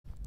我现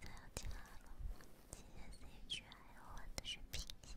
在要进来了，今天这一局还要换的是平级。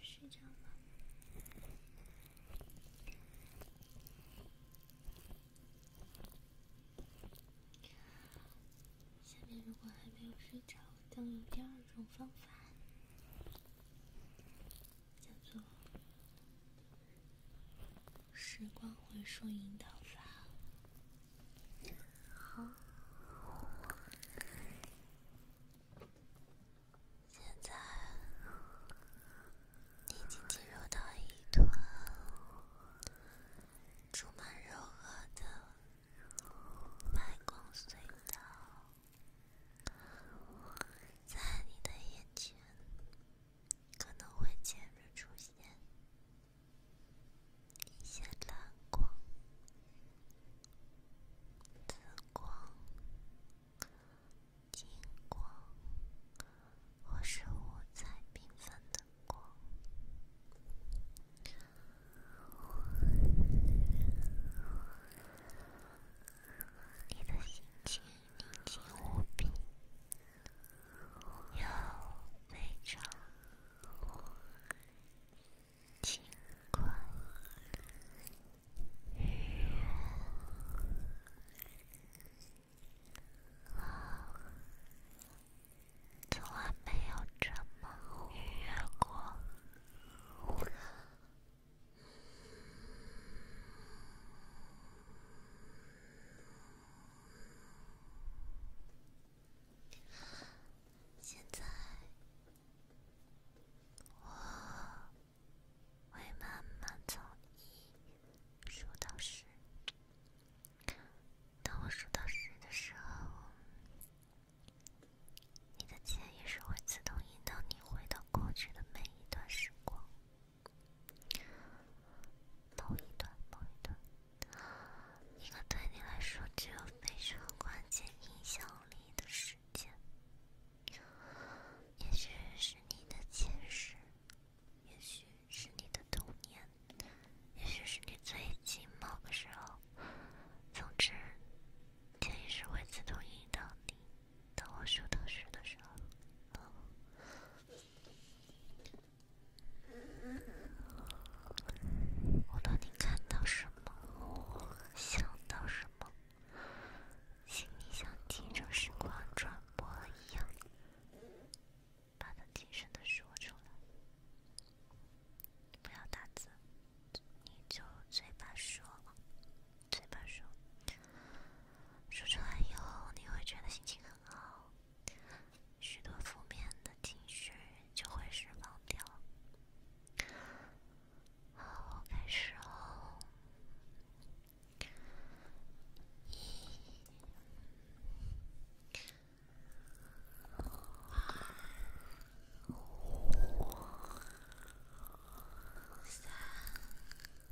睡着吗？下面如果还没有睡着，将有第二种方法，叫做。时光回溯引导法。好，现在你已经进入到一团充满柔和的白光隧道，在你的眼前。可能会接着出现一些蓝光、紫光、金光，或是五彩缤纷的光。你的心情宁静无比。有这种情况，人从来没有这么愉悦过。嗯，现在我会慢慢从一数到十。当我数到十的时候，你的潜意识会自动引导你回到过去的每一段时光。某一段，某一段，一个对你来说具有非常关键影响力的时间，也许是你的前世，也许是你的童年，也许是你最近某个时候。总之，建议是会自动引导你。当我说到时的时候。我让你看到什么，想到什么，请你像听着时光转播一样，把它轻声的说出来，不要打字，你就嘴巴说嘴巴说，说出来以后你会觉得心情很。好，许多负面的情绪就会释放掉。好，开始哦，一、二、三。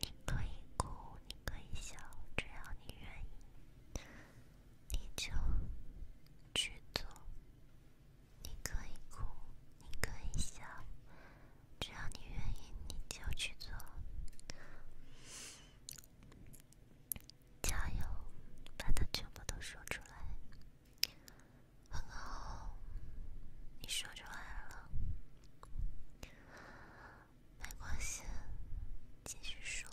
你可以哭，你可以笑，只要你愿意。你就去做。你可以哭，你可以笑，只要你愿意，你就去做。加油，把它全部都说出来。很好，你说出来了，没关系，继续说。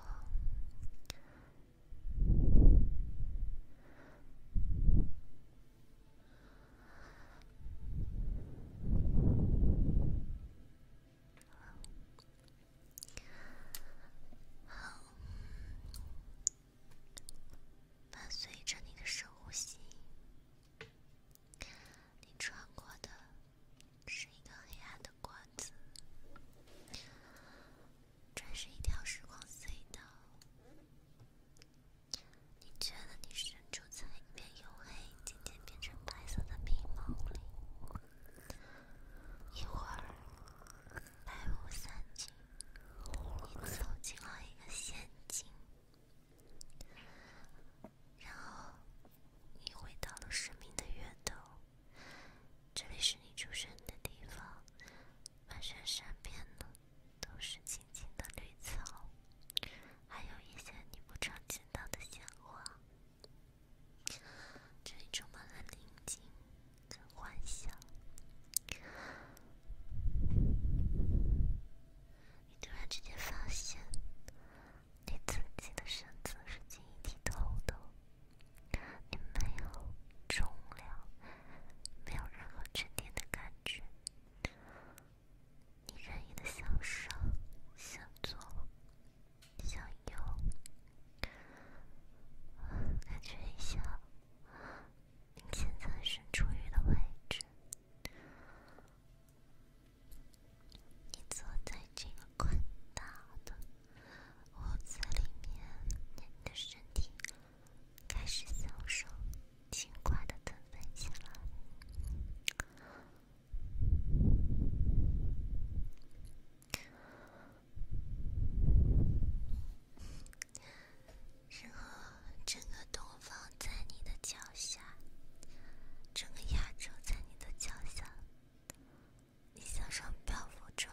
好，伴随着你的深呼吸，你穿过的是一个黑暗的管子。这是一条时光隧道。你觉得你身处在一片黝黑、渐渐变成白色的冰毛里，一会儿白雾散尽，你走进了一个陷阱，然后你回到了生命的源头。这里是你出生的地方，满山山边呢都是青青的绿草，还有一些你不常见到的鲜花。这里充满了宁静跟幻想，你突然之间发现，自己的身子是晶莹剔透的。你没有重量，没有任何沉甸的感觉。你任意的向右、向左、向右，感觉一下你现在是处于的位置。你坐在这个宽大的。屋子里面，你的身体开始享受轻快的腾飞起来，然后整个东方在你的脚下，整个亚洲在你的脚下。你向上漂浮着，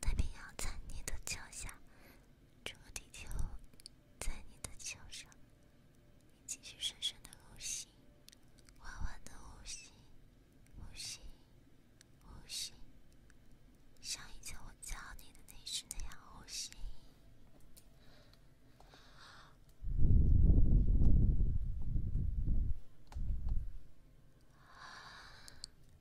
太平洋在你的脚下，整个地球在你的脚上，你继续深深的呼吸，缓缓的呼吸，呼吸，呼吸，像以前我教你的那句那样呼吸。你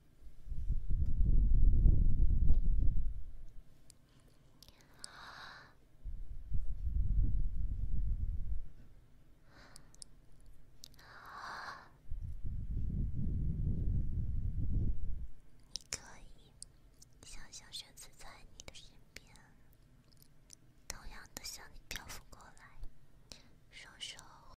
可以想象，玄子在你的身边，同样的向你漂浮过来，双手。